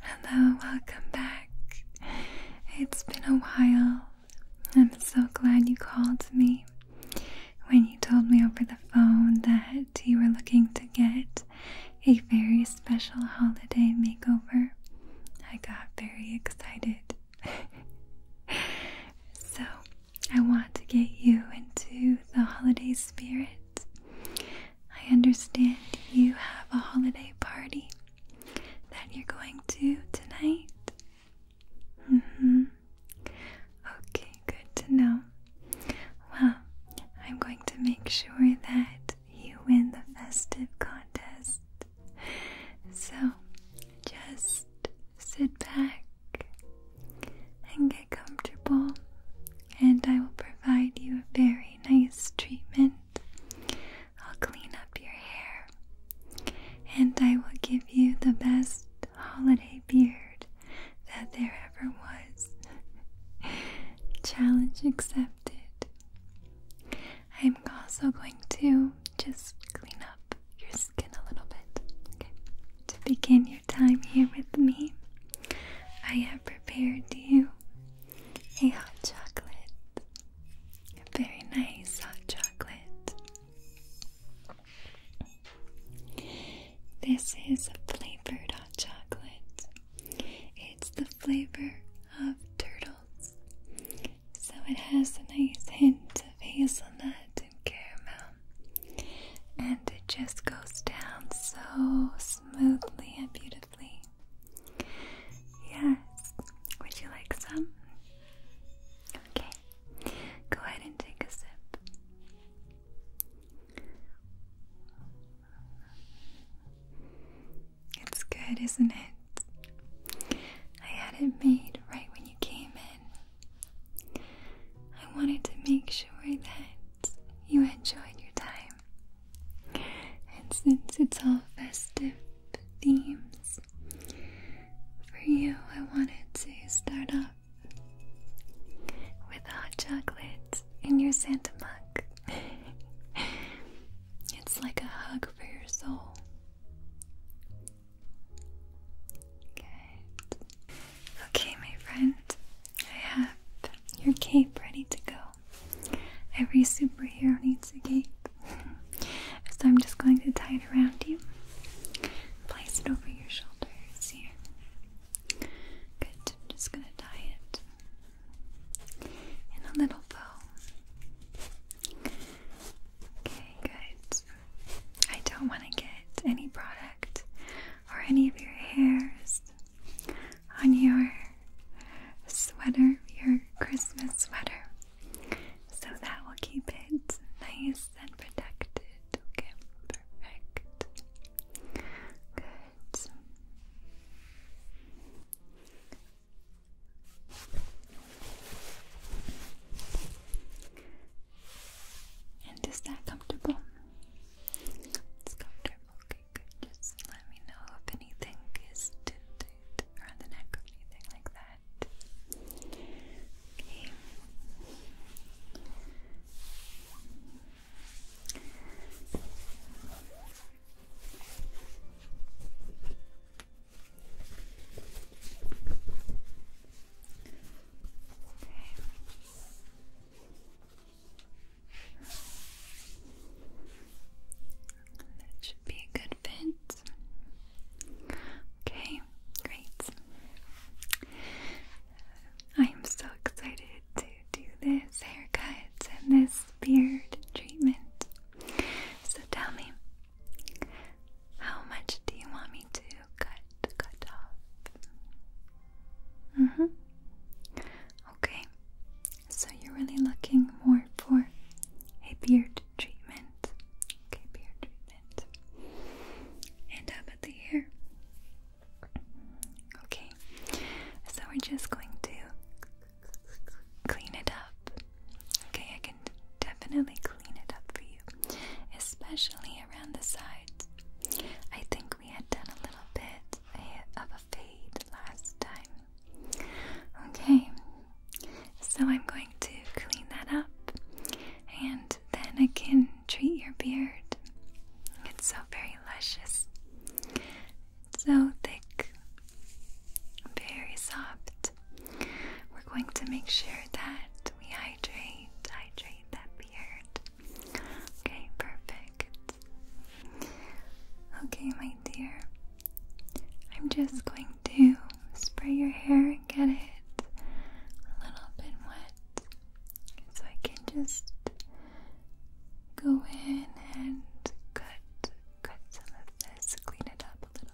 Hello, welcome back. It's been a while. I'm so glad you called me. When you told me over the phone that you were looking to get a very special holiday makeover, I got very excited. so, I want to get you into the holiday spirit. I understand you have a holiday party that you're going to tonight. Mm hmm. Okay, good to know. Well, I'm going to make sure that you win the festive contest. So just sit back and get comfortable, and I will provide you a very nice treatment. I'll clean up your hair, and I will give you the best holiday beard that there ever was. Challenge accepted. I'm also going to just clean up your skin a little bit. Okay. To begin your time here with me, I have prepared you a hot chocolate. very nice hot chocolate. This is a flavored hot chocolate. It's the flavor of turtles so it has a nice hint of hazelnut and caramel, and it just goes down so smoothly and beautifully. Yes, would you like some? Okay, go ahead and take a sip. It's good, isn't it? I had it made right when you came in. I wanted to make sure that you enjoyed your time. And since it's all festive themes, for you I wanted to start off with hot chocolate in your Santa mug. it's like a hug for your soul. Okay, my friend, I have your cape ready to go. Every superhero needs a cape. so I'm just going to tie it around you. Place it over your shoulders here. Good. just going to tie it in a little bow. Okay, good. I don't want to get any product or any of your hairs on your sweater, your Christmas sweater. So that will keep it nice and protected. Okay, perfect. Good. And is that comfortable? It's comfortable. Okay, Just let me know if anything is tinted around the neck or anything like that. Okay. That should be a good fit. Okay, great. I am so excited to do this haircut and this beard treatment. So tell me, how much do you want me to cut cut off? Mm-hmm. Okay. So you're really looking more for a beard treatment. Okay, beard treatment. And how about the hair? Okay. So we're just going to clean it up. Okay, I can definitely clean it up for you, especially around the sides. I think we had done a little bit of a fade last time. Okay, so I'm going to clean that up and then I can treat your beard. It's so very luscious, so thick very soft. We're going to make sure that we hydrate, hydrate that beard. Okay, perfect. Okay, my dear, I'm just going to spray your hair and get it a little bit wet so I can just go in and cut cut some of this, clean it up a little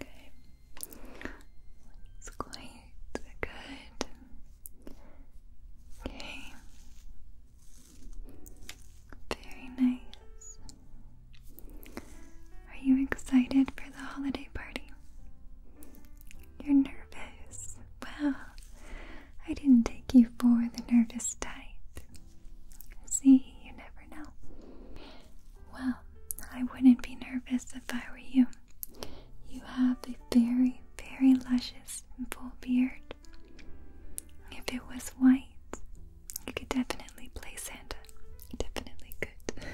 Okay, it's quite good. Okay, very nice. Are you excited for the holiday party? You're nervous. Well, I didn't take you for the nervous type. See, you never well, I wouldn't be nervous if I were you. You have a very, very luscious and full beard. If it was white, you could definitely play Santa. You definitely could.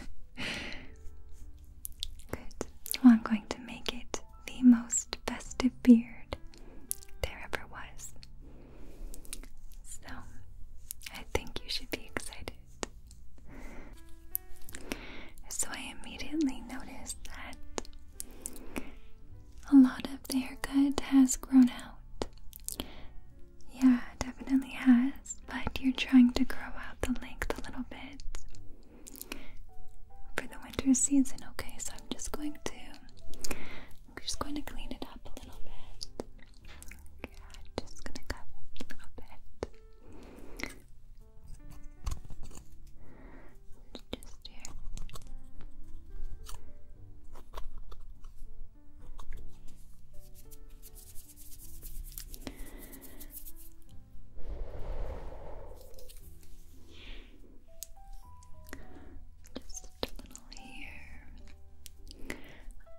Good. Well, I'm going to make it the most festive beard there ever was. So, I think you should be excited. So, I immediately noticed that a lot of the haircut has grown out. Yeah, definitely has, but you're trying to grow out the length a little bit for the winter season, okay? So, I'm just going to. I'm just going to clean it up a little bit. Okay, I'm just gonna cut a bit. Just here. Just little here.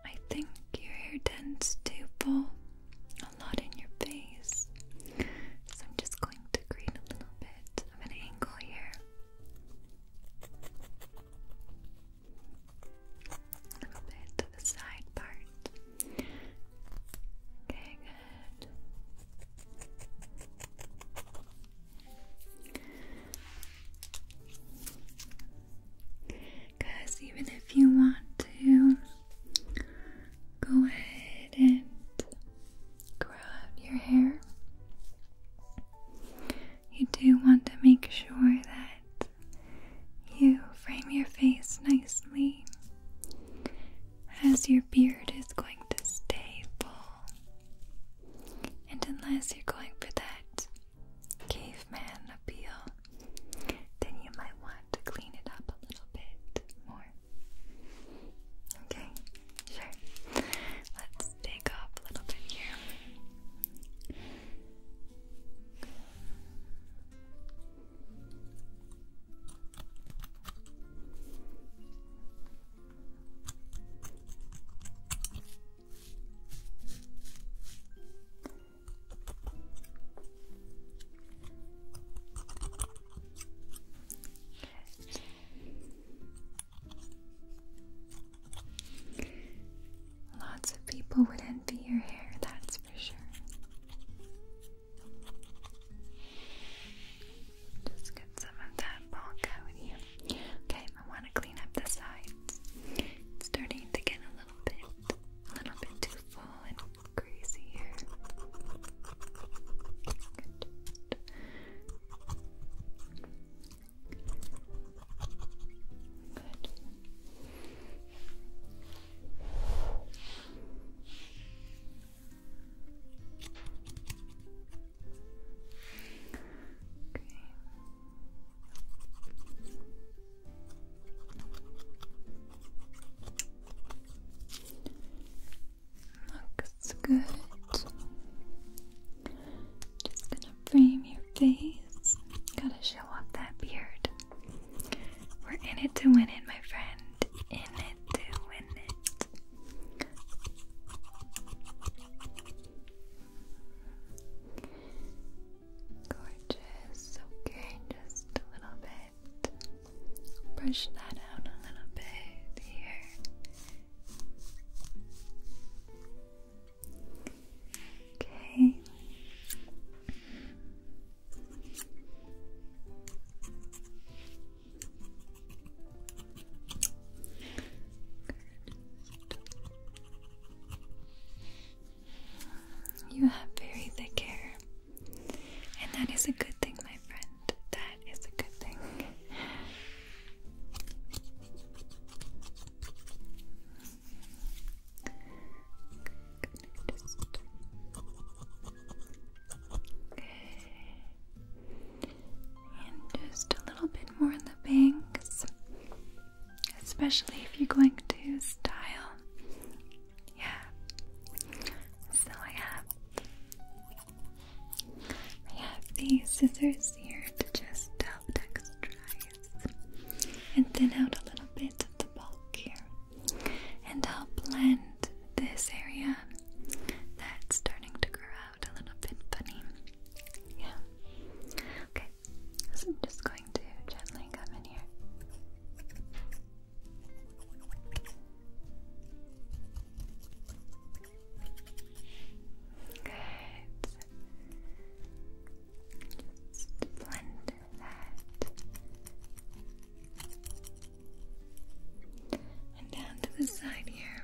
I think your hair tends to fall a lot in your face, so I'm just going to create a little bit of an angle here. A little bit to the side part. Okay, good. Because even if you want to go ahead and grow out your hair, you do want to make sure that you frame your face nicely as your beard is going to stay full. And unless you're going for that caveman appeal, then you might want to clean it up a little bit more. Okay, sure. Let's dig up a little bit here. Lots of people would envy your hair, that's for sure. Just get some of that bulk out here. Okay, I want to clean up the sides. It's starting to get a little bit, a little bit too full and crazy Good. Okay. Looks good. Just gonna frame your face. Gotta show off that beard. We're in it to win it, my friend. In it to win it. Gorgeous. Okay, just a little bit. Brush that out a little bit here. Okay. You have very thick hair, and that is a good thing, my friend. That is a good thing. okay. And just a little bit more in the banks especially if you're going to style. Yeah. So I have I have these scissors here to just help texturize and thin out a little bit of the bulk here, and help blend this area that's starting to grow out a little bit funny. Yeah. Okay, so I'm just going to gently come in here. Good. Just blend that. And down to the side here.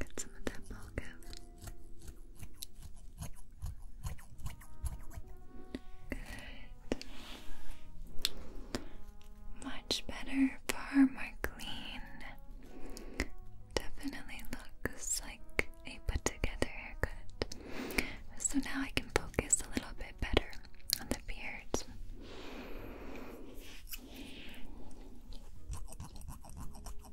Got some of that bulk out. Much better, far more clean. Definitely looks like a put together haircut. So now I can focus a little bit better on the beard. You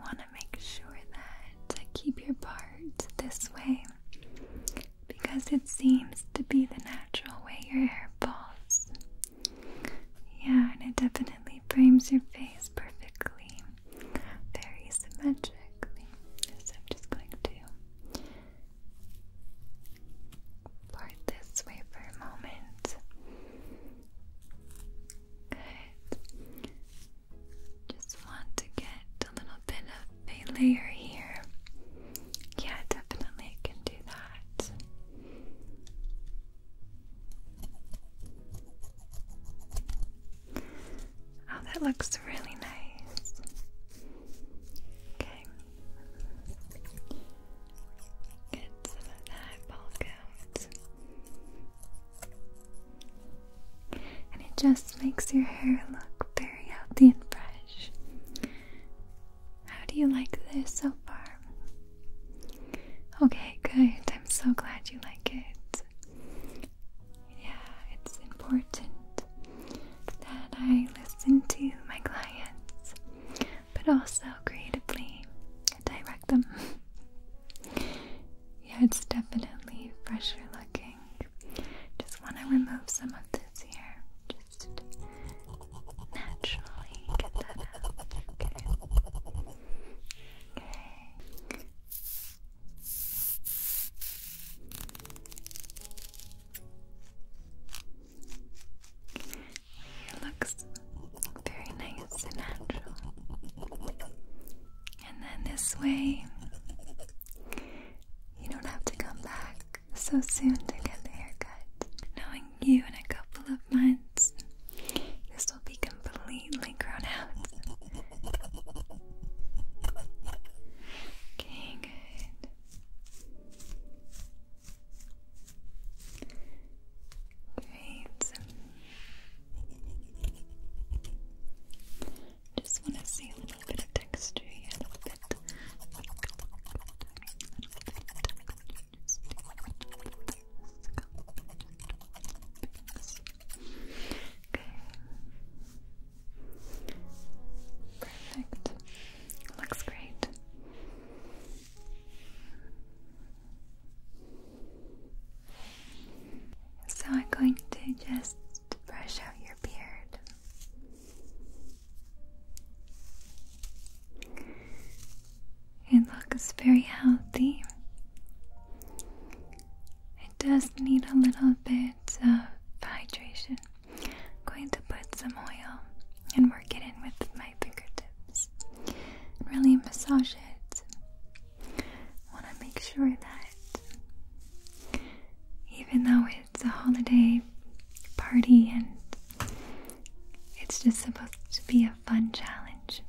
want to make sure that to keep your part this way because it seems to be the natural way your hair falls. Yeah, and it definitely frames your face perfectly, very symmetrically. So I'm just going to part this way for a moment. Good. Just want to get a little bit of a layer here. Yeah, definitely can do that. Oh, that looks really nice. Okay, Get some of the eyeball coat. And it just makes your hair look very healthy and fresh. How do you like this so far? Okay, good. I'm so glad you like it. Yeah, it's important that I listen to my clients but also creatively direct them. yeah, it's definitely fresher looking. Just want to remove some of this here. Just naturally get that out. Okay. It looks very nice and natural. And then this way, you don't have to come back so soon to get the haircut. Knowing you in a couple of months, this will be completely grown out. Okay, Great. Just want to see a little bit of texture here, a Okay. Perfect. Looks great. So I'm going to just brush out your beard. It looks very healthy. It does need a little bit of hydration. I'm going to put some oil and work it in with my fingertips and really massage it. I want to make sure that even though it's a holiday party and it's just supposed to be a fun challenge,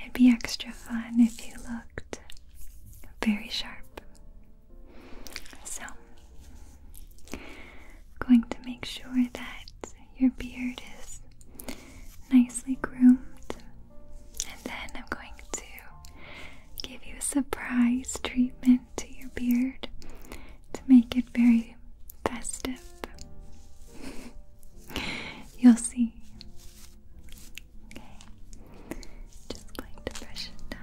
it'd be extra fun if you looked very sharp. So I'm going to make sure that your beard is nicely groomed, and then I'm going to give you a surprise treatment to your beard to make it very festive. You'll see. just going to brush it down.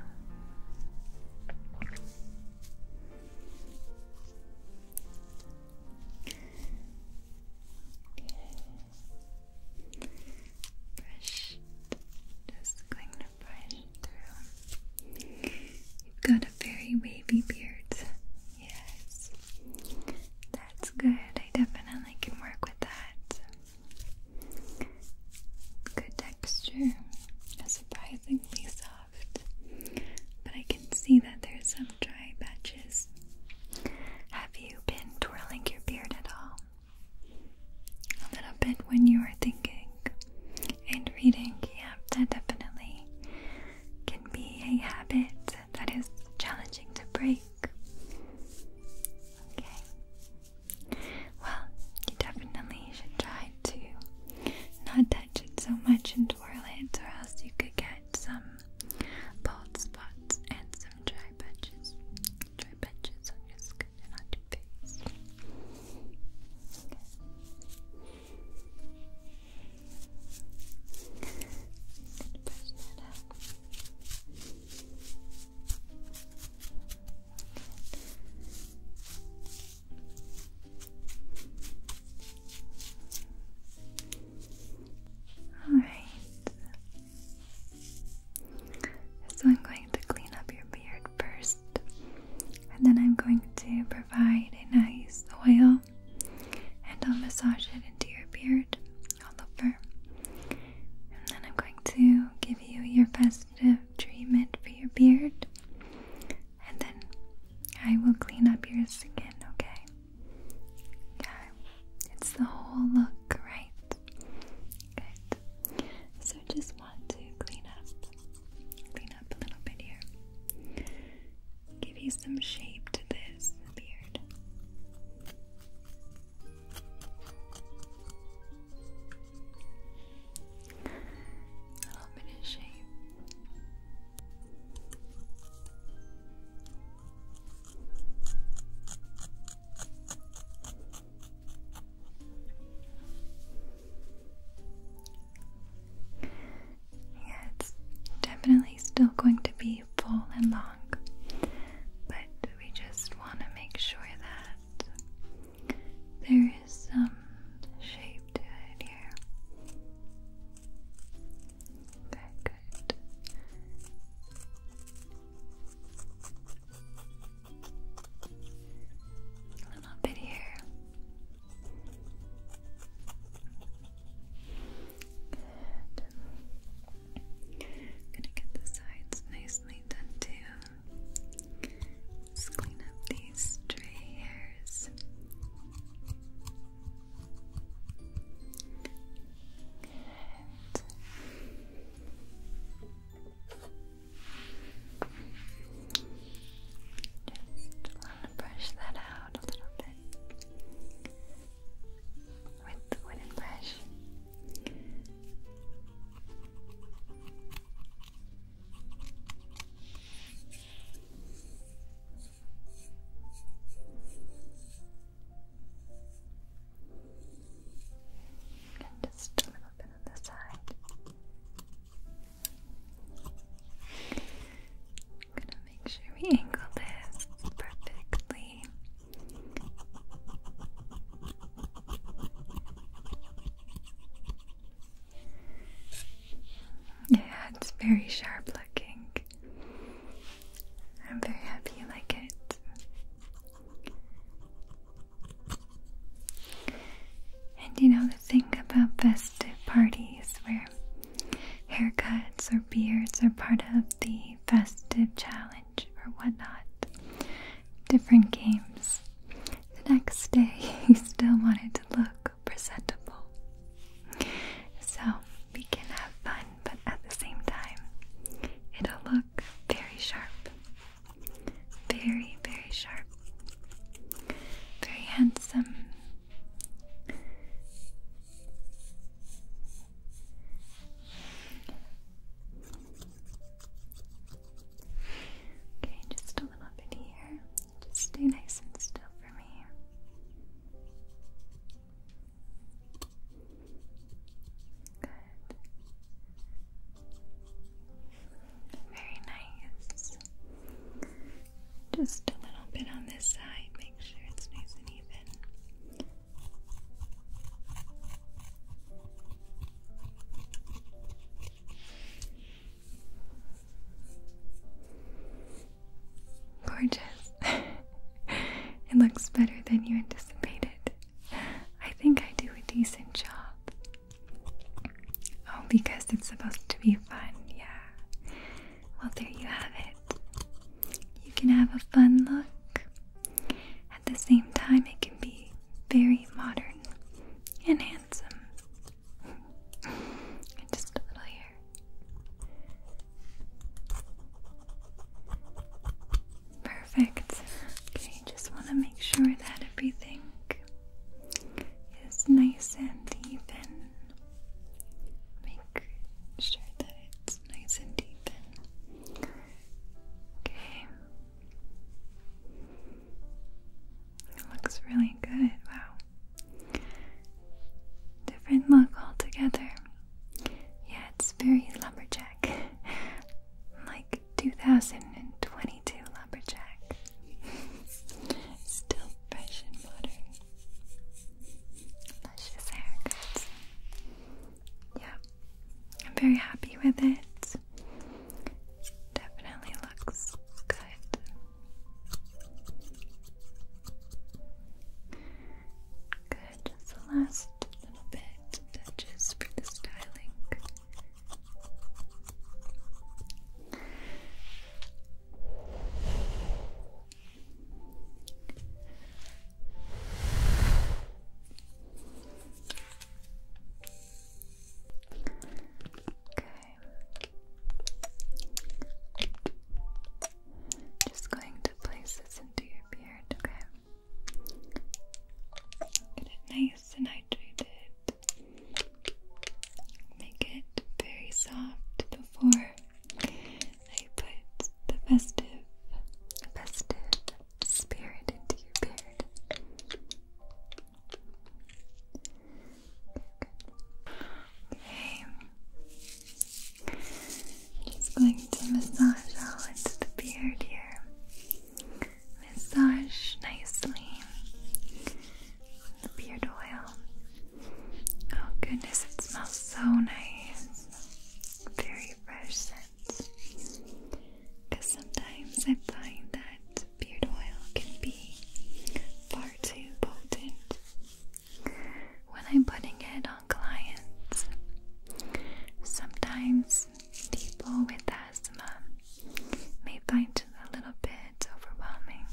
Brush. Just going to brush through. You've got a very wavy beard. Yes. That's good. I definitely can work with that. Good texture. surprisingly soft but I can see that there's some dry patches. Have you been twirling your beard at all? A little bit when you are thinking and reading, yeah, that definitely can be a habit that is challenging to break. Okay. Well, you definitely should try to not so much and twirl it, or else you could get some bald spots and some dry patches. Dry patches on your skin on your face. Alright. So I'm going to clean up your beard first, and then I'm going to provide a nice oil, and I'll massage it into your beard all over. And then I'm going to give you your festive treatment for your beard and then I will clean up yours again. okay? Yeah, it's the whole look, right? Good. So just want to clean up, clean up a little bit here. Give you some shape to this beard. A little bit of shape. Yeah, it's definitely still going to be full and long, but we just want to make sure that there is some shape to it here. Okay, good. A little bit here. gonna get the sides nicely done too. Let's clean up these stray hairs. Just want to brush that out a little bit with the wooden brush. And just a little bit on the side. I'm gonna make sure we angle this perfectly. Yeah, it's very sharp looking. I'm very happy you like it. And you know the thing about festive parties where haircuts or beards are part of the festive challenge or whatnot, different games. The next day, he still wanted to look presentable. So we can have fun, but at the same time, it'll look very sharp. Very, very sharp. Very handsome. Okay, just a little bit here. Just stay nice and still for me. Good. Very nice. Just a little bit on this side, make sure it's nice and even. Gorgeous. it looks better than you anticipated. I think I do a decent job. Oh, because it's supposed to be fun, yeah. Well, there you have it. You can have a fun look. At the same time, it can be very modern and handsome. Just a little here. Perfect. Okay, just want to make sure that everything is nice and even. Make sure that it's nice and even. Okay. It looks really good. Wow. Different look altogether. Yeah, it's very lumberjack. like 2022 lumberjack. Still fresh and modern. Luscious haircuts. Yeah, I'm very happy with it. Definitely looks good. Good, just the last little bit touches for the styling. Okay. Just going to place this into your beard, okay? Get it nice and hydrated. Make it very soft before I put the festive, festive spirit into your beard. Okay. Just going to massage all into the beard here. Massage nicely the beard oil. Oh goodness, it smells so nice. Very fresh scent. Because sometimes I find that beard oil can be far too potent. When I'm putting it on clients, sometimes people with asthma may find it a little bit overwhelming.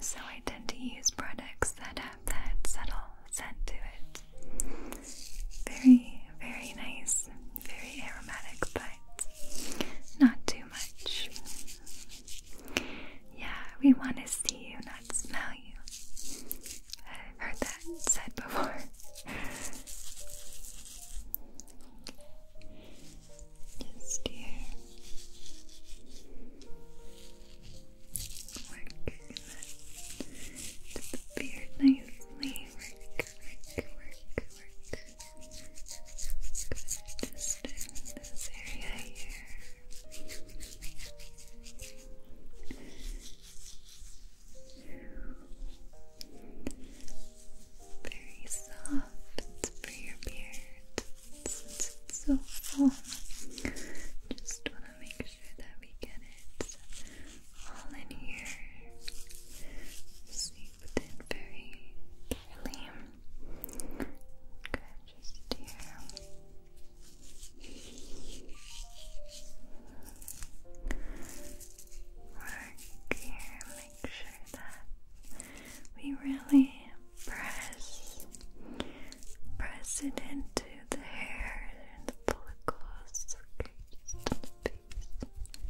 So I tend to use products that have that subtle scent to it. Very, very nice very aromatic, but not too much. Yeah, we want to see you, not smell you. I've heard that said before. Just here. Work that to the nicely. Work, work, work, work. Just in this area here. Very soft for your beard. Since it's so full, just want to make sure that we get it all in here. Seeped in very carefully. Good, just here. Work here, make sure that we really press, press it into the hair and the follicles. Okay, just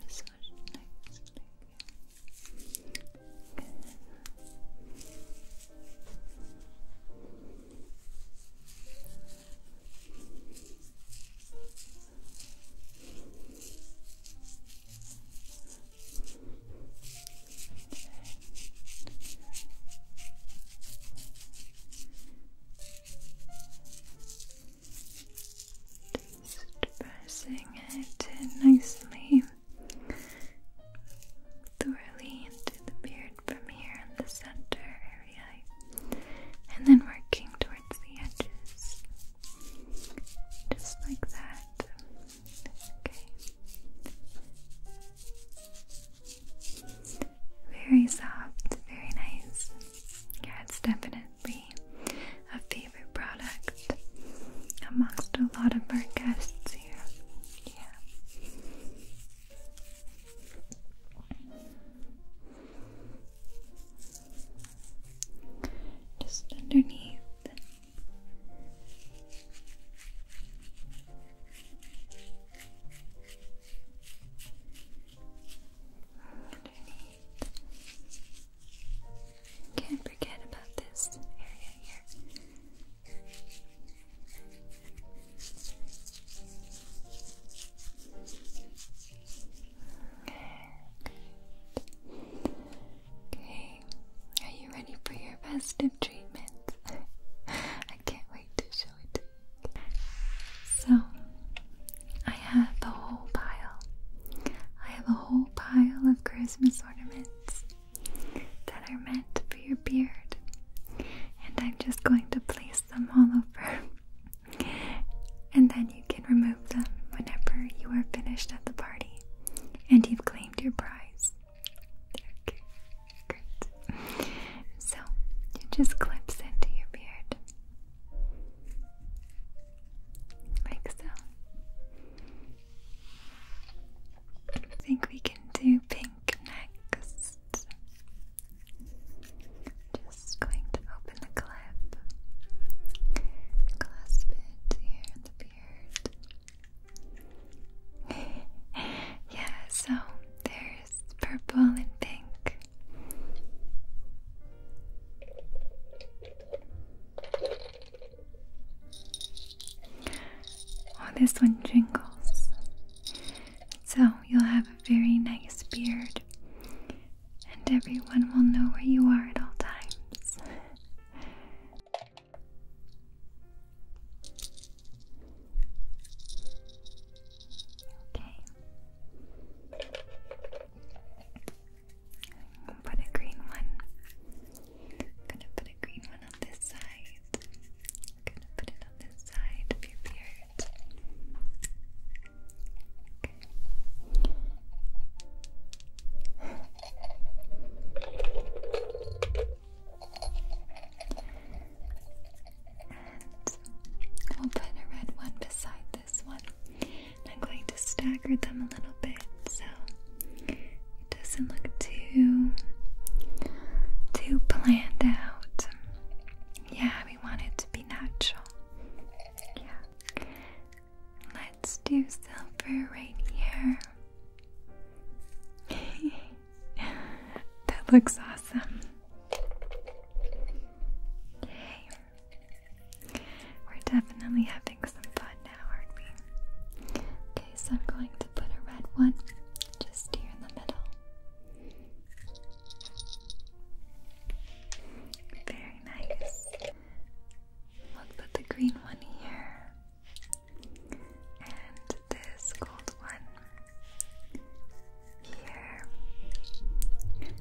Massage next just it nicely, thoroughly into the beard from here in the center area, and then working towards the edges, just like that. Okay. Very soft, very nice. Yeah, it's definitely be a favorite product amongst a lot of our guests here. Yeah. Just underneath. Can't forget about this area here. Okay, are you ready for your festive treatment? I can't wait to show it So, I have a whole pile. I have a whole pile of Christmas ornaments that are meant for your beard. And I'm just going to place them all over. and then you can remove them whenever you are finished at the party and you've claimed your prize. Okay, great. So, it just clips into your beard. Like so. I think we can do pink next. Just going to open the clip, clasp it here in the beard. yeah, so there's purple and pink Oh, this one jingles. So you'll have a very nice beard, and everyone will know where you are at all times. Okay. I'll put a green one. gonna put a green one on this side. gonna put it on this side of your beard. Okay. we'll put a red one beside this one. I'm going to stagger them a little bit so it doesn't look too too planned out. Yeah, we want it to be natural. Yeah. Let's do silver right here. that looks awesome. We're definitely having some fun now, aren't we? Okay, so I'm going to put a red one just here in the middle. Very nice. Let's put the green one here. And this gold one here. Okay. Good.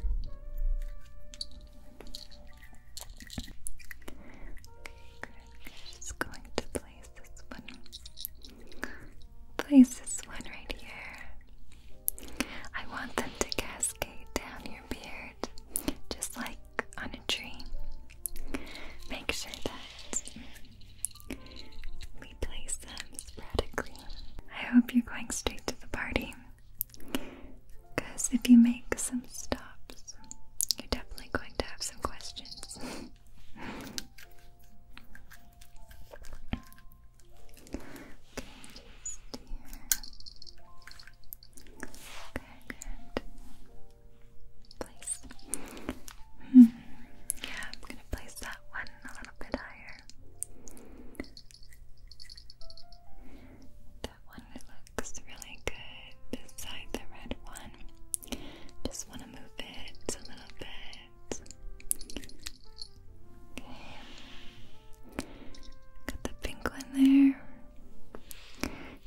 Just going to place this one. Place this one right here. I want them to cascade down your beard, just like on a tree. Make sure that we place them sporadically. I hope you're going straight to the party. Because if you make some stops, you're definitely going to have some questions. okay, hmm. Place. Yeah, I'm gonna place that one a little bit higher. That one looks really good beside the red one. Just want to move it a little bit. Got the pink one there.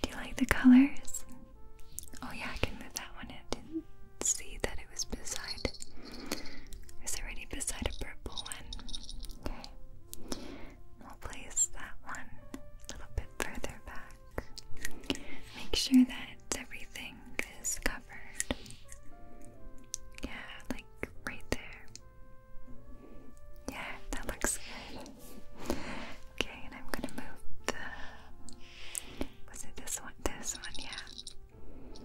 Do you like the colors? Oh, yeah, I can move that one. I didn't see that it was beside. It's already beside a purple one. We'll place that one a little bit further back. Make sure that everything is covered. Yeah, like right there. Yeah, that looks good. Okay, and I'm gonna move the. Was it this one? This one, yeah.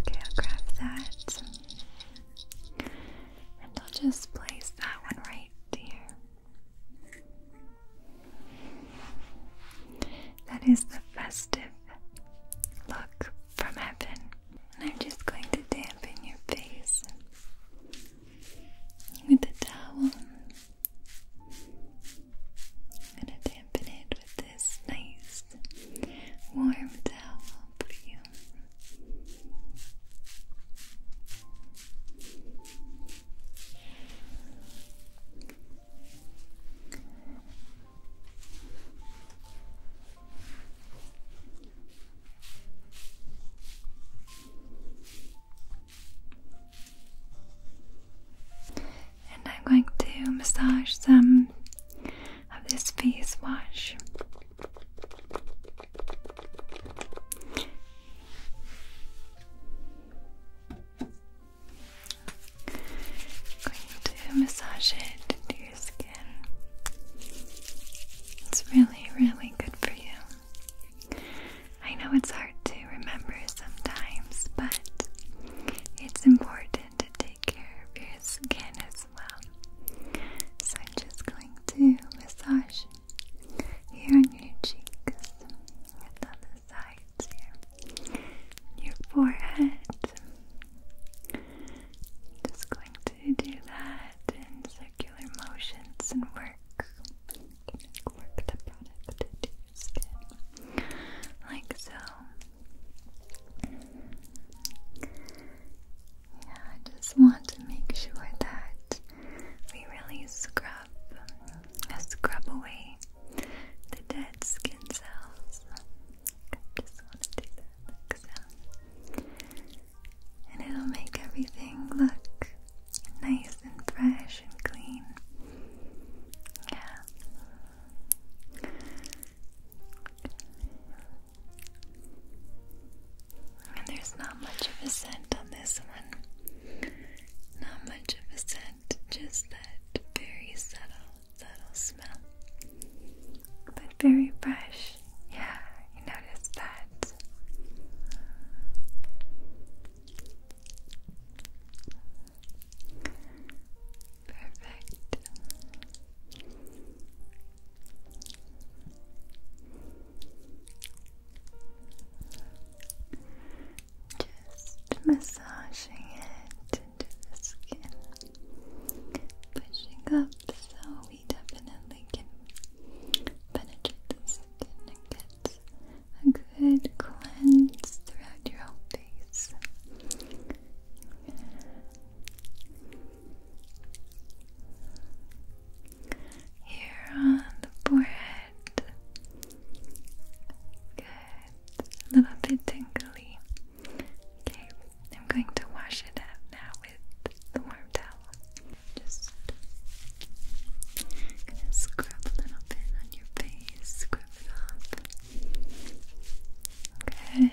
Okay, I'll grab that. And I'll just place that one right here. That is the festive look from heaven. And I'm just going to dampen your face with the towel. I'm going to dampen it with this nice warm towel for you. And I'm going to massage some of this face wash Going to massage it into your skin. It's really, really good for you. I know it's hard to remember sometimes, but it's important to take care of your skin as well. So I'm just going to massage here on your cheeks, and sides here, your forehead. Just going to do that in circular motions and work, work the product into your skin, like so. I just want to make sure that we really scrub, uh, scrub away the dead skin cells. I just want to do that And it'll make everything look nice and fresh and clean. Yeah there's not much of a scent on this one. Not much of a scent, just that very subtle, subtle smell. But very fresh. Yeah, you noticed that. Perfect. Just massaging it into the skin, pushing up so we definitely can penetrate the skin and get a good cleanse throughout your whole face. Here on the forehead. Good. A little bit tingly. Okay, I'm going to wash it out now with the warm towel. Just gonna scrub a little bit on your face, scrub it off. Good.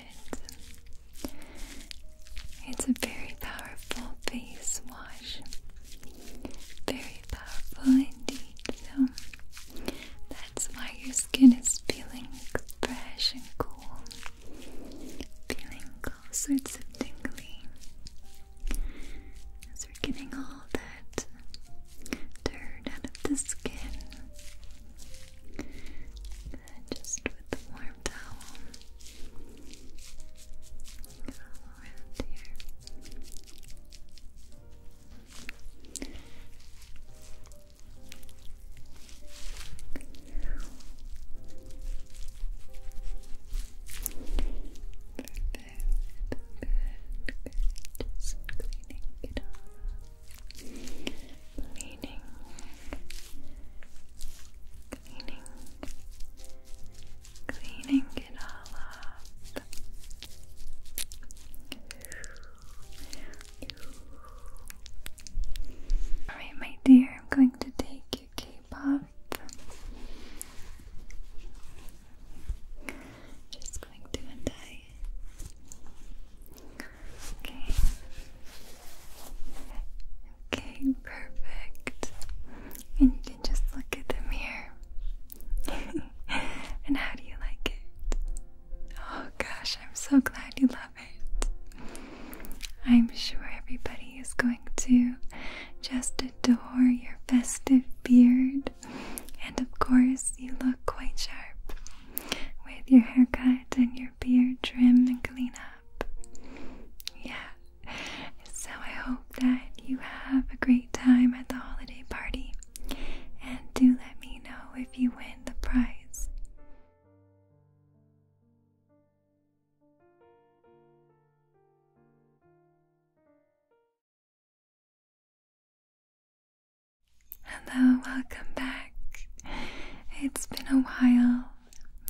It's a very powerful face wash. Very powerful indeed. So that's why your skin is feeling fresh and cool. Feeling all sorts of tingling As we're getting all that dirt out of the skin. just with warm warm towel around here Perfect, good, just cleaning it all cleaning Cleaning, cleaning it all up. Alright, my dear, I'm going to take your cape off. Just going to untie Okay. Okay, perfect. And you can just look at the mirror. and how do you like it? Oh gosh, I'm so glad you love it. I'm sure everybody is going to just adore your festive beard. And of course, you look quite sharp with your haircut and your beard trim and clean up. Yeah. So I hope that you have a great time at the holiday party. And do let me know if you win the prize. Hello, welcome back. It's been a while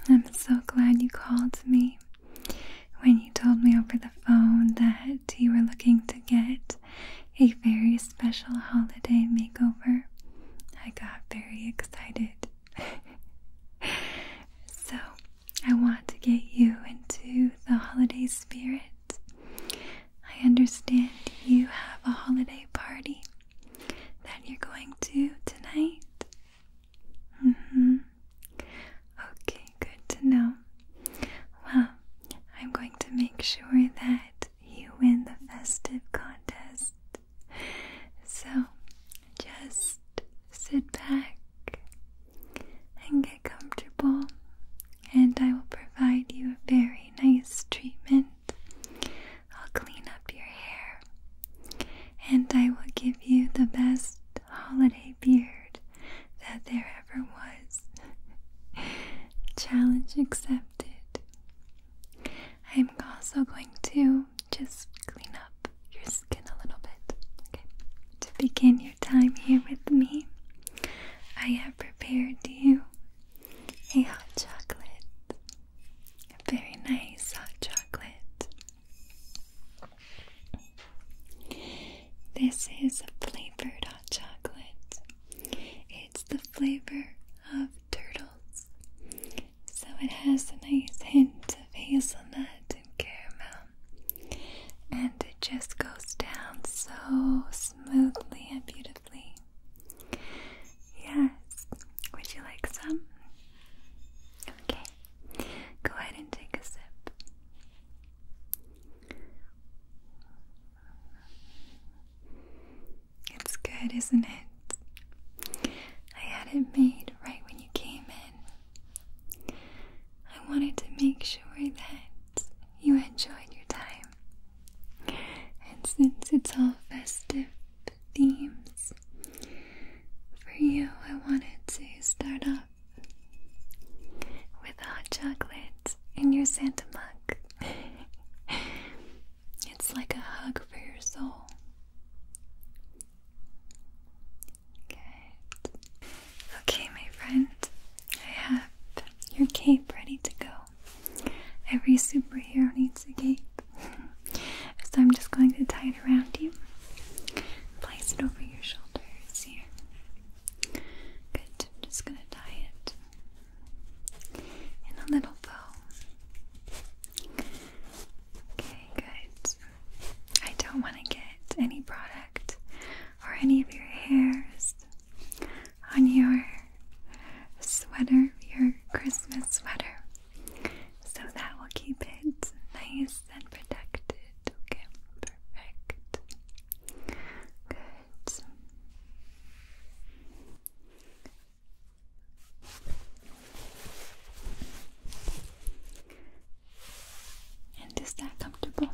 I'm so glad you called me when you told me over the phone that you were looking to get a very special holiday makeover. I got very excited. so, I want to get you into the holiday spirit. I understand you have a holiday party that you're going to tonight? Mm-hmm. Okay, good to know. Well, I'm going to make sure that you win the festive contest. So, just sit back and get comfortable, and I will provide you a very nice treatment I'll clean up your hair, and I will give you the best holiday beard that there ever was. Challenge accepted. I'm also going to just clean up your skin a little bit. To begin your time here with me, I have prepared you a hot chocolate. Very nice hot chocolate. This is a flavored hot chocolate. It's the flavor of turtles. So it has a nice hint of hazelnut and caramel. And it just goes down so smoothly and beautifully. Yes. Would you like some? Okay. Go ahead and take a sip. It's good, isn't it? I had it made right when you came in. I wanted to make sure that you enjoyed your time. And since it's all festive themes, for you, I wanted to start off with hot chocolate in your Santa mug. it's like a hug for your soul. Okay, my friend, I have your cape ready to go. Every superhero needs a cape so I'm just going to tie it around you. Place it over your shoulders here. Good. i just going to tie it in a little bow. Okay, good. I don't want to get any product or any of your hairs on your sweater, your Christmas sweater. So that will keep it nice and protected. Okay, perfect. Good. And is that comfortable?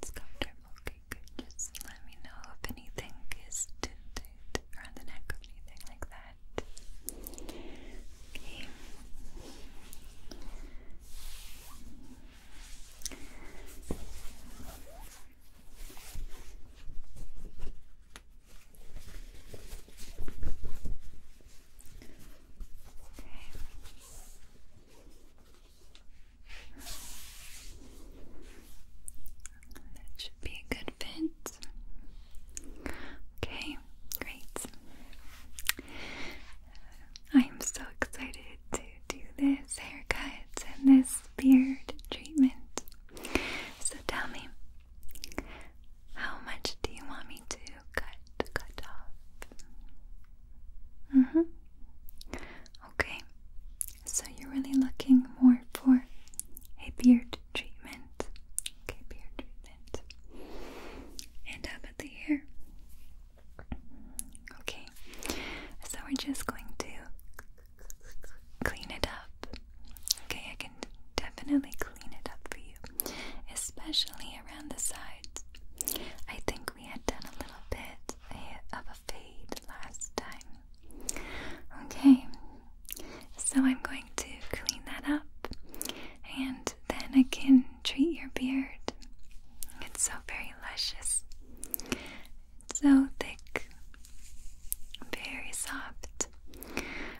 It's comfortable. Okay, good. Just let me know if anything is tinted around the neck or anything like that that. should be a good fit. Okay, great. I'm so excited to do this haircut and this beard treatment. So tell me, how much do you want me to cut cut off? Mhm. Mm okay. So you're really looking more for a beard treatment. Okay, beard treatment. And up at the hair. Okay, so we're just going to clean it up. Okay, I can definitely clean it up for you, especially around the sides. I think we had done a little bit of a fade last time, Okay, so I'm going to clean that up and then I can treat your beard. It's so very luscious, so thick, very soft.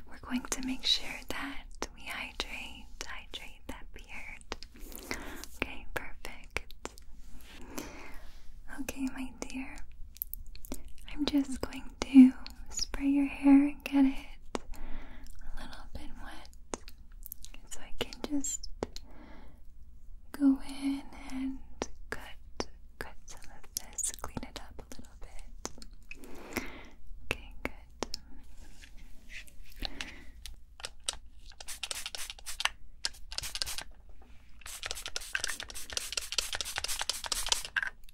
We're going to make sure that we hydrate, hydrate that beard. Okay, perfect. Okay, my dear. I'm just going to spray your hair and get it a little bit wet so I can just go in and cut cut some of this, clean it up a little bit. Okay, good.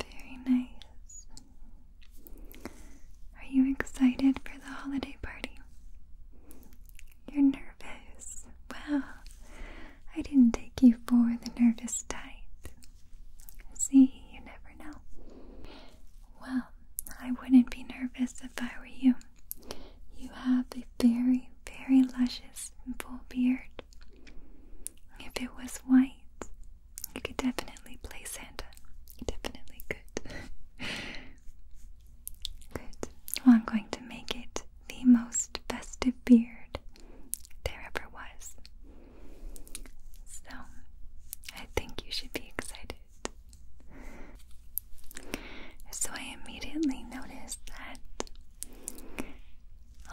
Very nice. Are you excited for the holiday party? You're nervous. Well, I didn't take you for the nervous type. See, you never know. Well, I wouldn't be nervous if I were you. You have a very, very luscious and full beard. If it was white, you could definitely play Santa. You definitely could. Good. Well, I'm going to make it the most festive beard there ever was. So, I think you should be excited. So, I immediately noticed that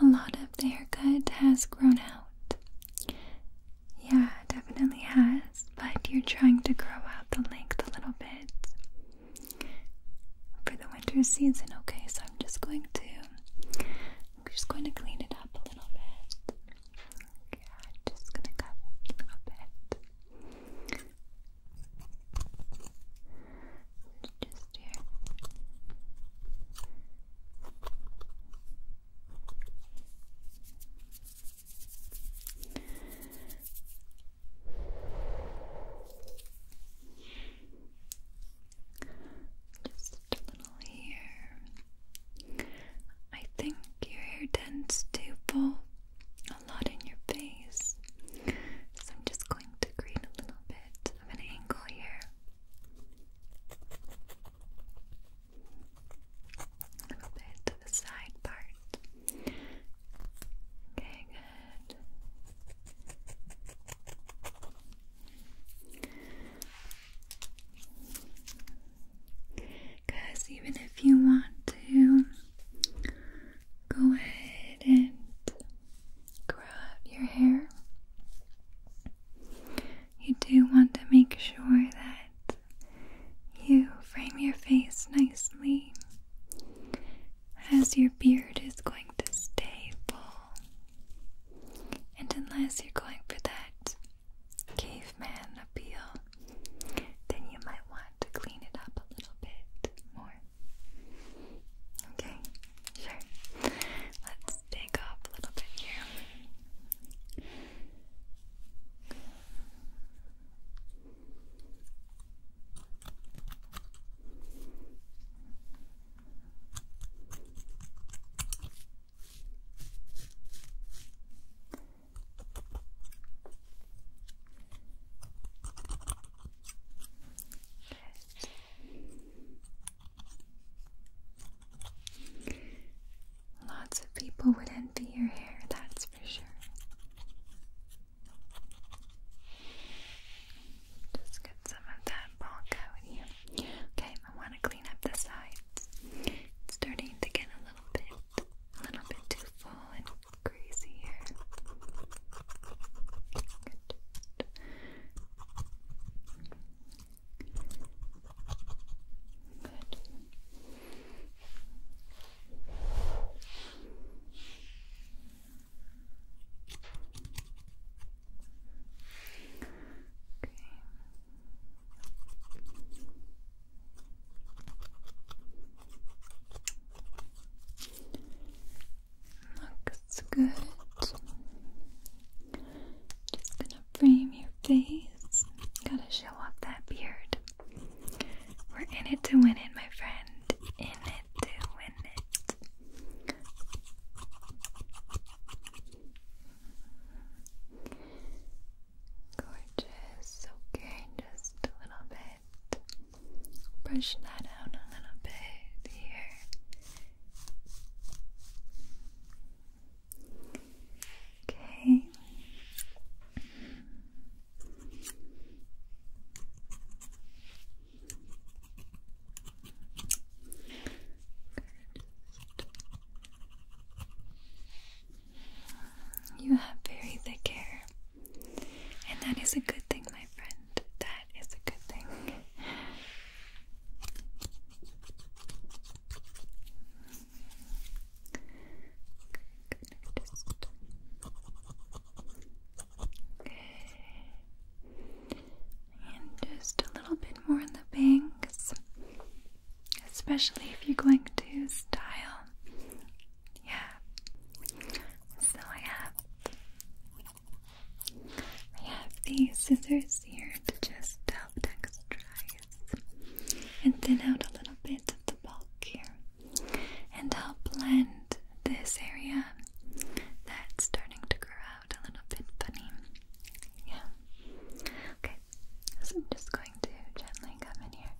a lot of their good has grown out. Yeah, definitely has, but you're trying to grow out the length a little bit for the winter season. Okay, so I'm just going to I'm just going to clean it up a little bit. Okay, just gonna cut a little bit. Just here. Just a little here. I think your hair tends to pull a lot in your face, so I'm just going to create a little bit of an angle here. A little bit to the side part. Okay, good. Because even if you want to go ahead and grow out your hair, you do want to make sure that you frame your face nicely as your beard is going to stay full. And unless you're going for that caveman appeal, then you might want to clean it up a little bit more. Okay, sure. Let's just take a little bit here. Lots of people would envy your hair, that's for sure. Just get some of that bulk out here. Okay, I want to clean up the sides. It's starting to get a little bit, a little bit too full and crazy Good. Looks good. Just gonna frame your face. Gotta show off that beard. We're in it to win it, my friend. In it to win it. Gorgeous. Okay, just a little bit. Brush that out a little bit here. Okay. You have very thick hair, and that is a good thing, my friend. That is a good thing. Okay. And just a little bit more in the bangs, especially if you're going to style. Yeah. So I have I have these scissors here to just help texturize and thin out a little bit of the bulk here and help blend this area that's starting to grow out a little bit funny. Yeah. Okay, so I'm just going to gently come in here.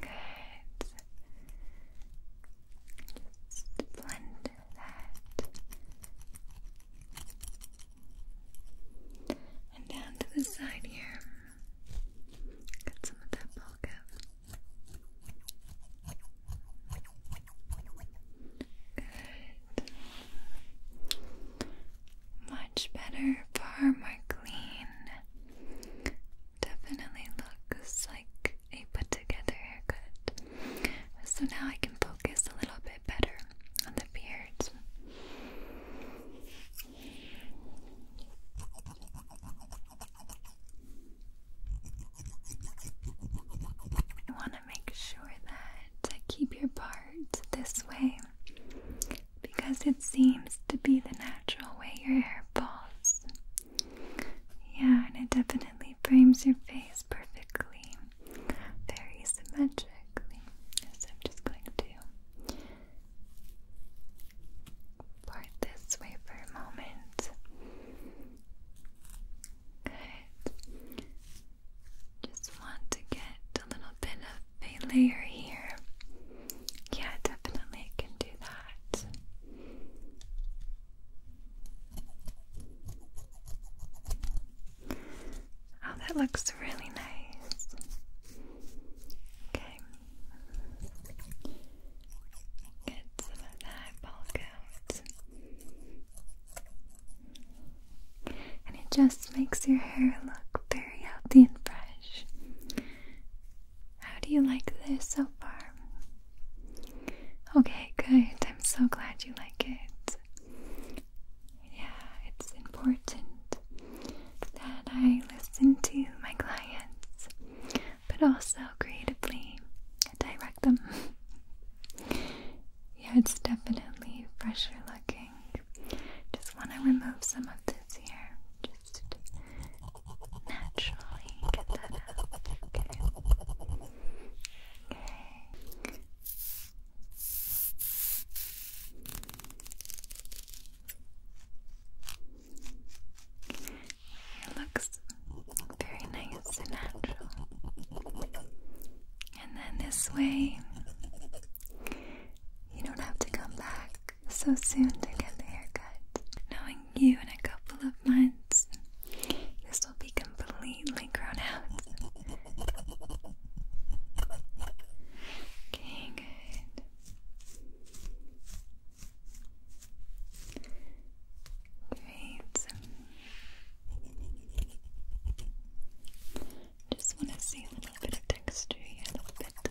Good. Just blend that. And down to the side here. Get some of that bulk up. Good. Much better, far more clean definitely looks like a put together haircut. So now I can focus a little bit better on the beard. I want to make sure that I keep your part this way because it seems to be the natural way your hair falls. Yeah, and it definitely frames your face perfectly, very symmetrically. So I'm just going to part this way for a moment. Good. Just want to get a little bit of a layer here. Yeah, definitely can do that that. Oh, that looks really nice. Okay. Get some of that bulk out. And it just makes your hair look very healthy and fresh. How do you like this so far? Okay, good. I'm so glad you like it. Yeah, it's important that I listen to my clients, but also creatively direct them. yeah, it's definitely fresher looking. Just want to remove some of this here naturally get that out. Okay. Okay. It looks very nice and natural. And then this way, you don't have to come back so soon to get the haircut. Knowing you in a couple of months, this will be completely grown out. Okay, good. Great. Just want to see a little bit of texture here, a little bit.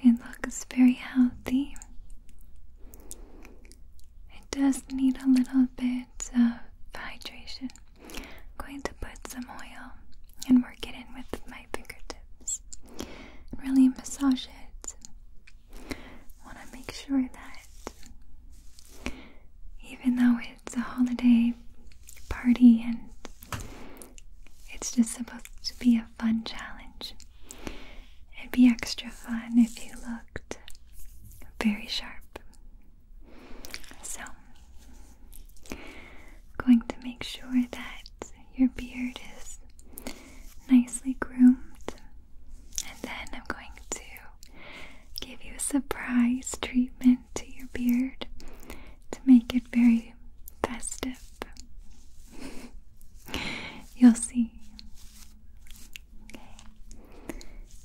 It looks very healthy. It does need a little bit of hydration. I'm going to put some oil and work it in with my fingertips. Really massage it. I want to make sure that even though it's a holiday party and it's just supposed to be a fun challenge. It'd be extra fun if you looked very sharp. So, going to make sure that your beard is nicely groomed, and then I'm going to give you a surprise treatment to your beard to make it very festive. You'll see.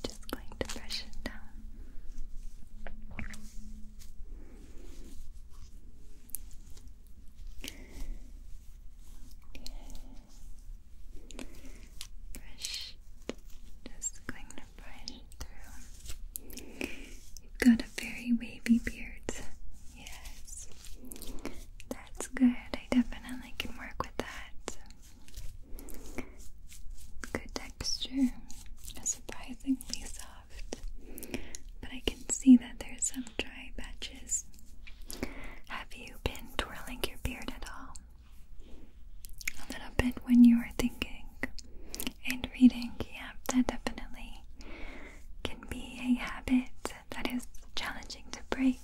Just going to brush it down. Brush. Just going to You've got a very wavy beard. Yes. That's good. I definitely can work with that. Good texture. Surprisingly soft. But I can see that there's some dry patches. Have you been twirling your beard at all? A little bit when you were thinking and reading, yeah that definitely can be a habit that is challenging to break.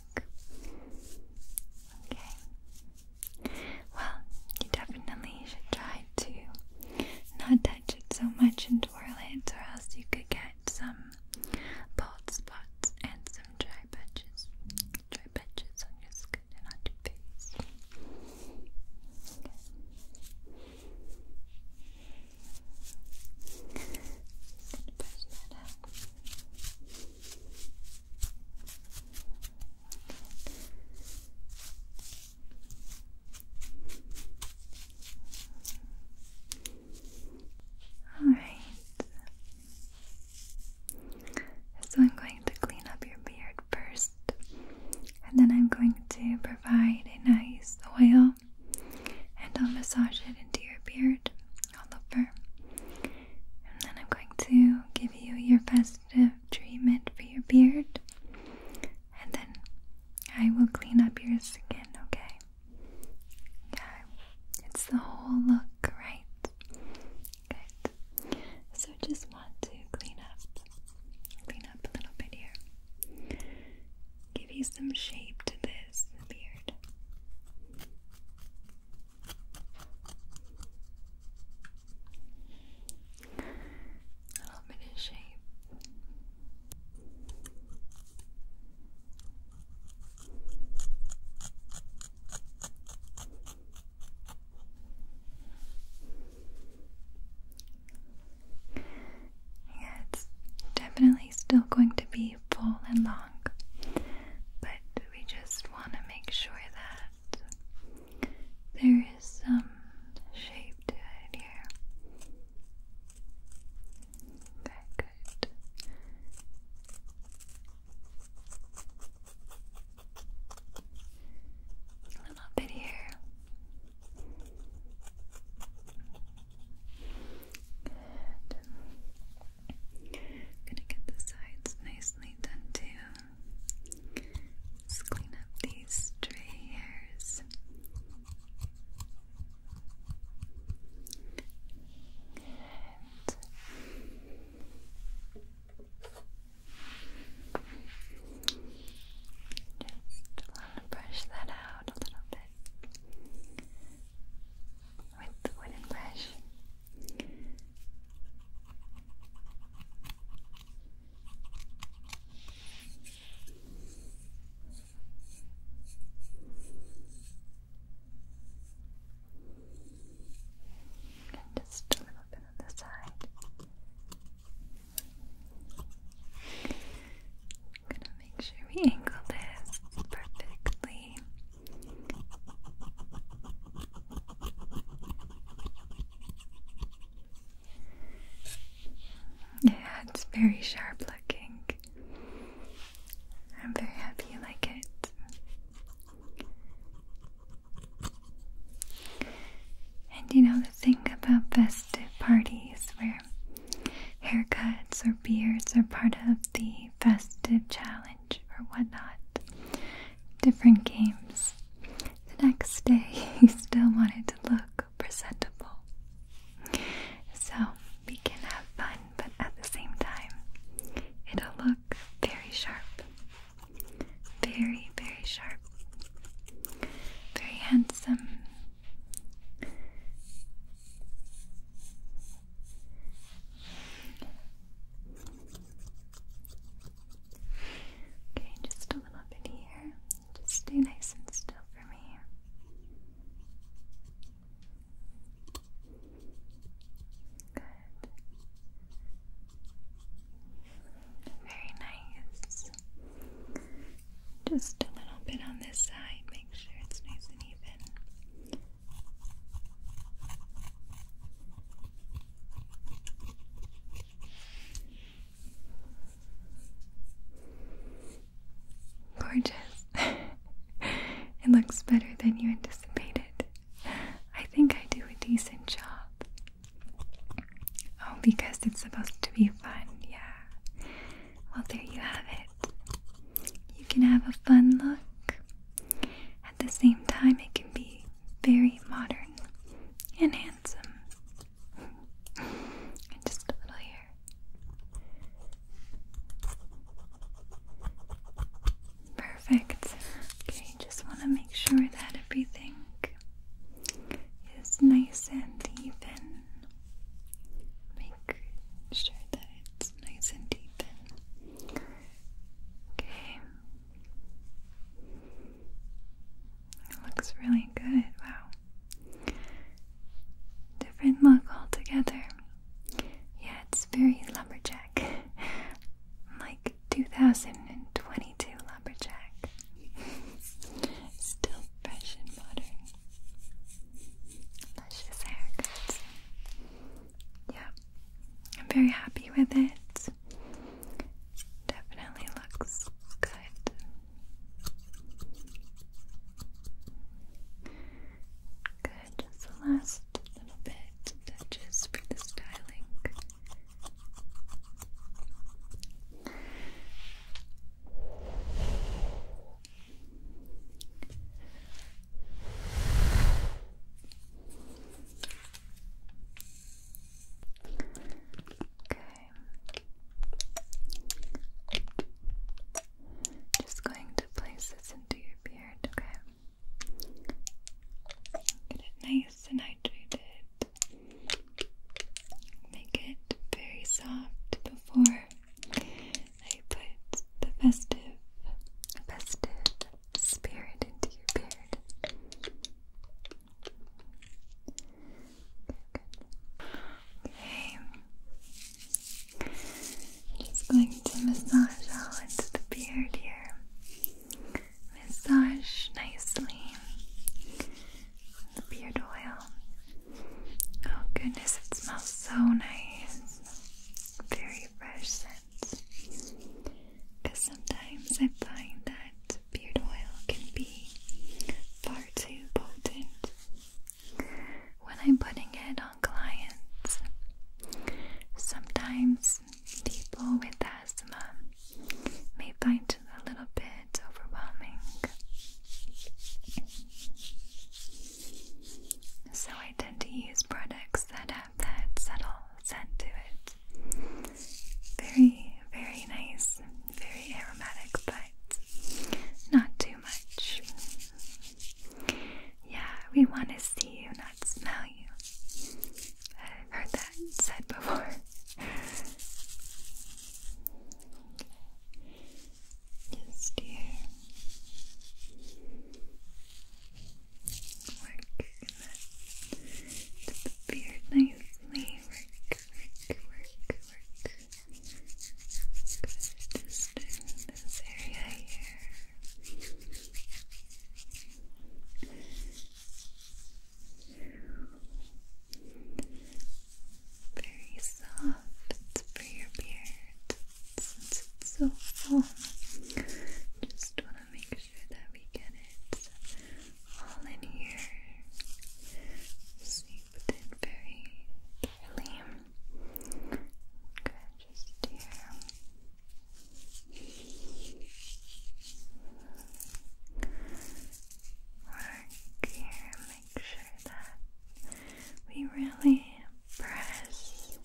Okay. Well, you definitely should try to not touch it so much and twirl or else you could get some bald spots and some dry patches. Dry patches on your skin and on your face. All right. So I'm going to clean up your beard first and then I'm going to provide a nice oil and I'll massage it into your beard all over and then I'm going to give you your festive treatment for your beard and then I will clean up your skin, okay? Okay, it's the whole look, right? Okay. So just want to clean up Lean up a little bit here. Give you some shape to this beard. A little bit of shape. Yeah, it's definitely still going to be full and long, but we just want to make sure that there is some shape to it here. Okay, good. A little bit here. Good. Gonna get the sides nicely done too. Let's clean up these stray hairs. Just want to brush that out a little bit with the wooden brush. And just a little bit on the side. I'm gonna make sure we angle this perfectly. Yeah, it's very sharp looking. I'm very happy you like it. And you know the thing about festive parties where haircuts or beards are part of the festive challenge or whatnot, different games. The next day you still wanted to look presentable. So we can have fun, but at the same time, it'll look very sharp. Very, very sharp. Very handsome. Okay, just a little bit here. Just stay nice and still for me. Good. Very nice. Just a little bit on this side, make sure it's nice and even. Gorgeous. it looks better than you anticipated. I think I do a decent job. Oh, because it's supposed to be fun, yeah. Well, there you have it. You can have a fun look. At the same time, it can be very modern and handsome. just a little here. Perfect. Okay, just want to make sure that everything is nice and even. Make sure that it's nice and even. Okay. looks really good. Wow. Different look altogether. Yeah, it's very lumberjack. like 2022 Flapperjack. Still fresh and modern. Luscious haircuts. Yeah, I'm very happy with it. Definitely looks good. Good, just the last little bit touches for the styling. Okay. Just going to place this into your beard, okay? Get it nice and hydrated. Make it very soft before I put the festive, festive spirit into your beard. Okay. just going to massage all into the beard here. Massage nicely the beard oil. Oh goodness, it smells so nice. Very fresh scent. Because sometimes I find that beard oil can be far too potent when I'm putting it on clients. Sometimes people with asthma may find a little bit overwhelming. So I tend to use products that have that subtle scent to it. Very, very nice, very aromatic, but not too much. Yeah, we want to see you, not smell you. I've said before. Just here. Work the beard nicely. Work, work, work, work. Good. Just in this area here very soft for your beard since it's so full. Just want to make sure that we get it all in here. Seeped in very thoroughly. Okay, just here work here. Make sure that we really press,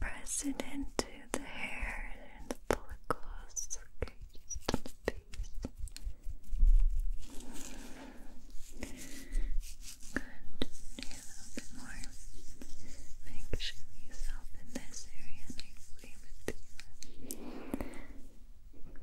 press it into the hair and the follicles. Okay, just on the Good. a little bit more. Make sure you soften this area nicely with the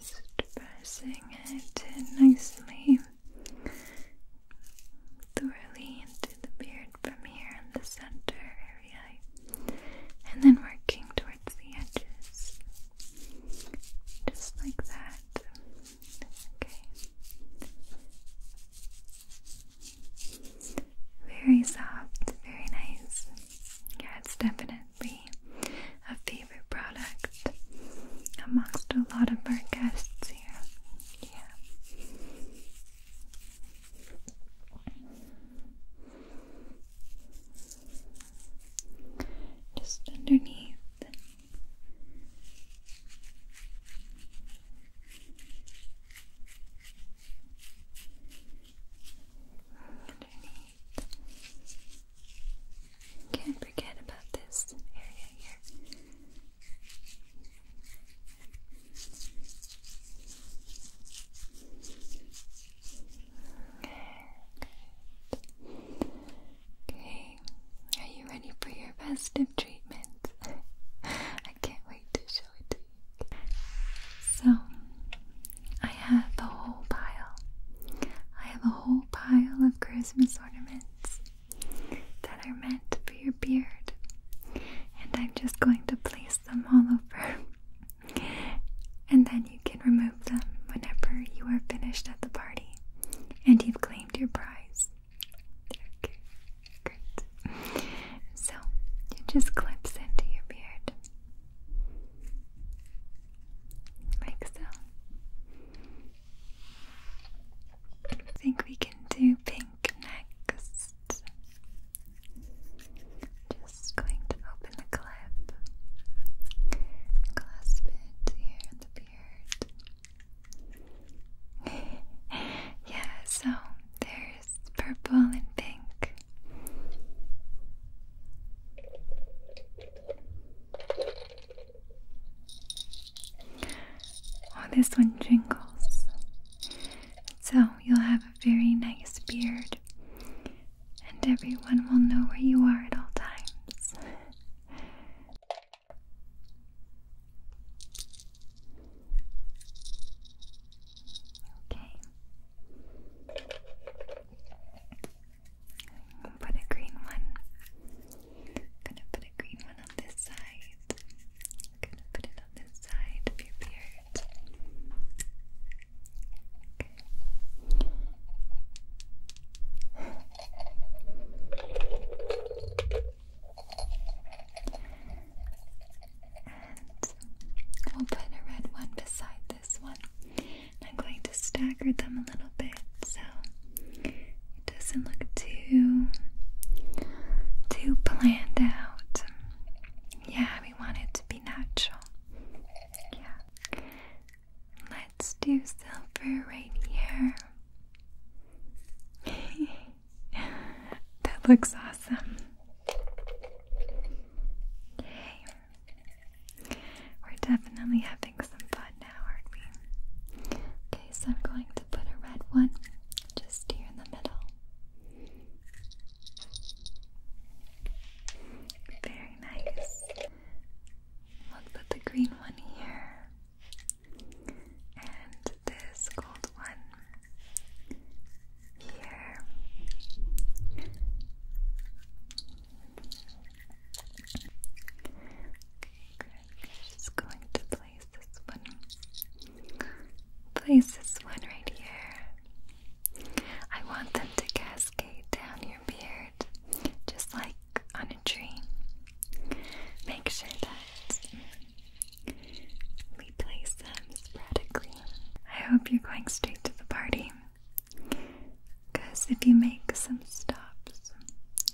Just pressing it nicely, thoroughly into the beard from here in the center and then working towards the edges just like that okay very soft, very nice yeah, it's definitely a favorite product amongst a lot of our guests here yeah just underneath. Underneath. Can't forget about this area here. Good. Okay, are you ready for your festive treatment? I can't wait to show it to you. So, I have a whole pile. I have a whole pile of Christmas ornaments that are meant for your beard, and I'm just going to place them all over and then you can remove them whenever you are finished at the party and you've claimed your prize. Okay, great. So it just clips into your beard. Like so. I think we can do pink next. Just going to open the clip, clasp it here in the beard. yeah, so there's purple and pink. Oh, this one jingles. So you'll have a very nice beard and everyone will know where you are at all times. okay. put a green one. gonna put a green one on this side. gonna put it on this side of your beard. And will put a red one beside this one. I'm going to stagger them a little bit so it doesn't look too too planned out. Yeah, we want it to be natural yeah. Let's do silver right here. that looks awesome. Yay. We're definitely having some fun now, aren't we? Okay, so I'm going to put a red one just here in the middle. Very nice. We'll put the green one here. And this gold one here. Okay, Just going to place this one. Place this one right here. I want them to cascade down your beard, just like on a tree. Make sure that we place them sporadically. I hope you're going straight to the party, because if you make some stops,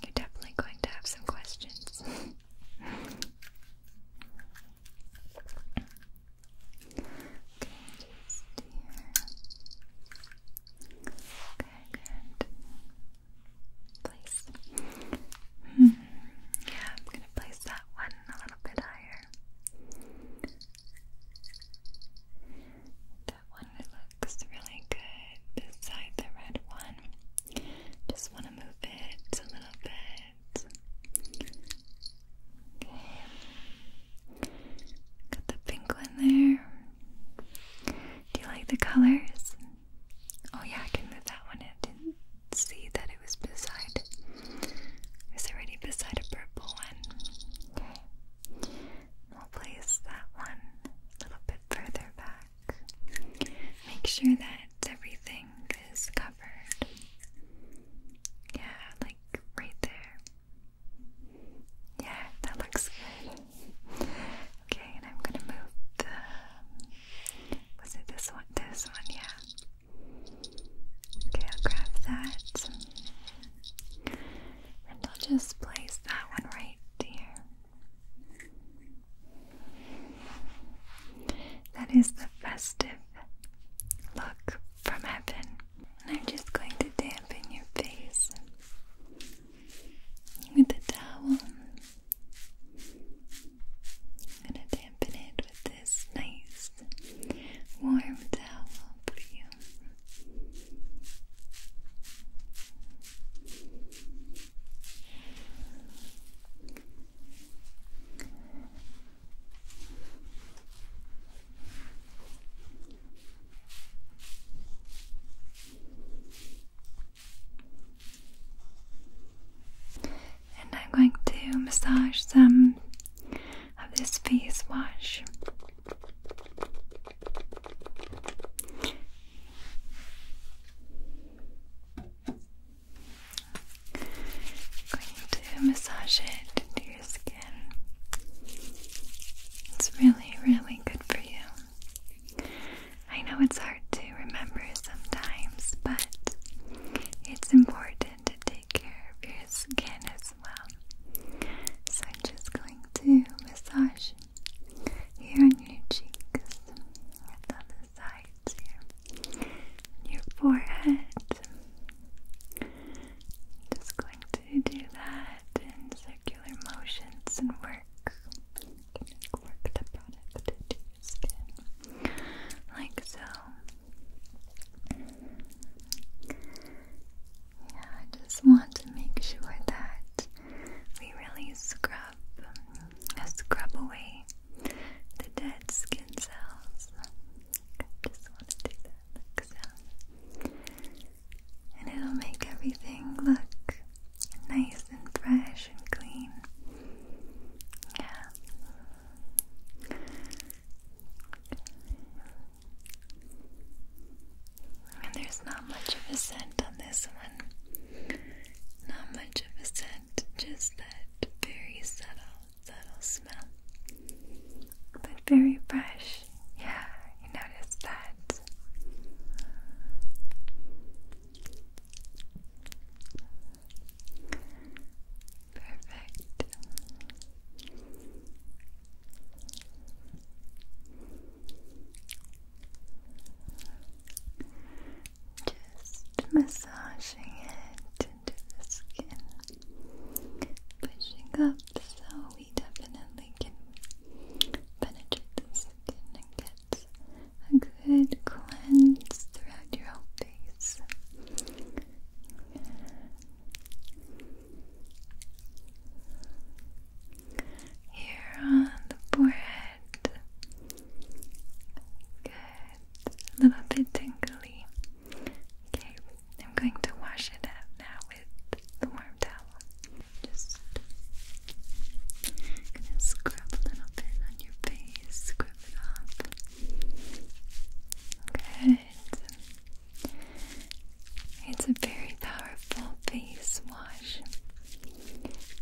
you're definitely going to have some questions. Okay, just Place. Yeah, I'm gonna place that one a little bit higher. That one looks really good beside the red one. Just want to move it a little bit. Got the pink there. Do you like the colors? Oh yeah, I can move that one in. Didn't see that it was beside. It already beside a purple one. Okay. We'll place that one a little bit further back. Make sure that everything is covered. Yeah, like right there. Yeah, that looks good. Okay, and I'm gonna move the. Was it this one? This one, yeah. Okay, I'll grab that. And I'll just place that one right there. That is the festive look from heaven. And I'm just going to dampen your face with a towel. I'm going to dampen it with this nice warm towel for you. And I'm going to massage some of this face wash. going to massage it it's really, really good for you. I know it's hard to remember sometimes, but it's important to take care of your skin as well. So I'm just going to massage here on your cheeks, and sides here, your forehead, just going to do that in circular motions and work. Work the product into your skin, like so. Yeah, I just want to make sure that we really scrub, scrub away the dead skin cells. I just want to do that. And it'll make everything look nice and fresh and clean. Yeah. And there's not much of a scent on this one. Not much of a scent, just that very subtle subtle smell, but very fresh. Yeah, you notice that. Perfect. Just massaging it into the skin, pushing up so we definitely can penetrate the skin and get a good cleanse throughout your whole face. Here on the forehead. Good. A little bit tingly. Okay, I'm going to wash it out now with the warm towel. Just gonna scrub a little bit on your face, scrub it off. Good. It's a very powerful face wash.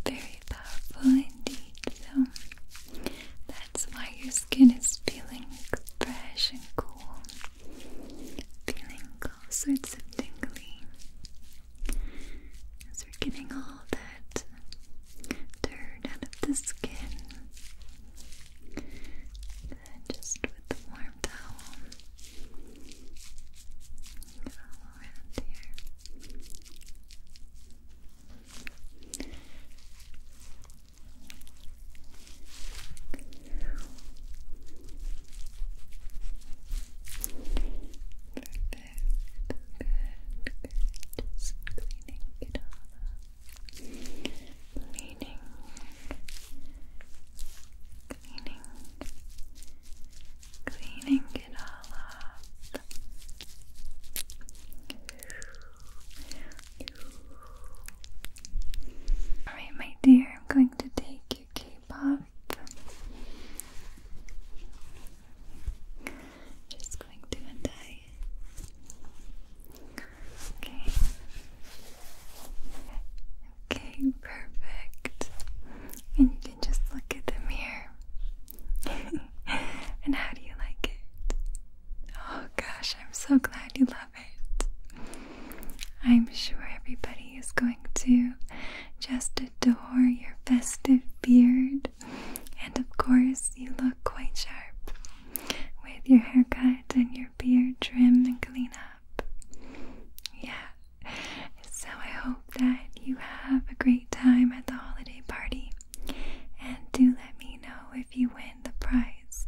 Very powerful indeed. So that's why your skin is feeling fresh and cool feeling all sorts of tingly as we're getting all that dirt out of the skin. just with the warm towel, around here good. Just cleaning it all up. Cleaning. Cleaning. Cleaning it all up. Alright, my dear, I'm going to take your K-pop. Just going to untie it. Okay. Okay, perfect. And you can just look at the mirror. and how do you like it? Oh gosh, I'm so glad you love I'm sure everybody is going to just adore your festive beard. And of course, you look quite sharp with your haircut and your beard trimmed and clean up. Yeah. So I hope that you have a great time at the holiday party. And do let me know if you win the prize.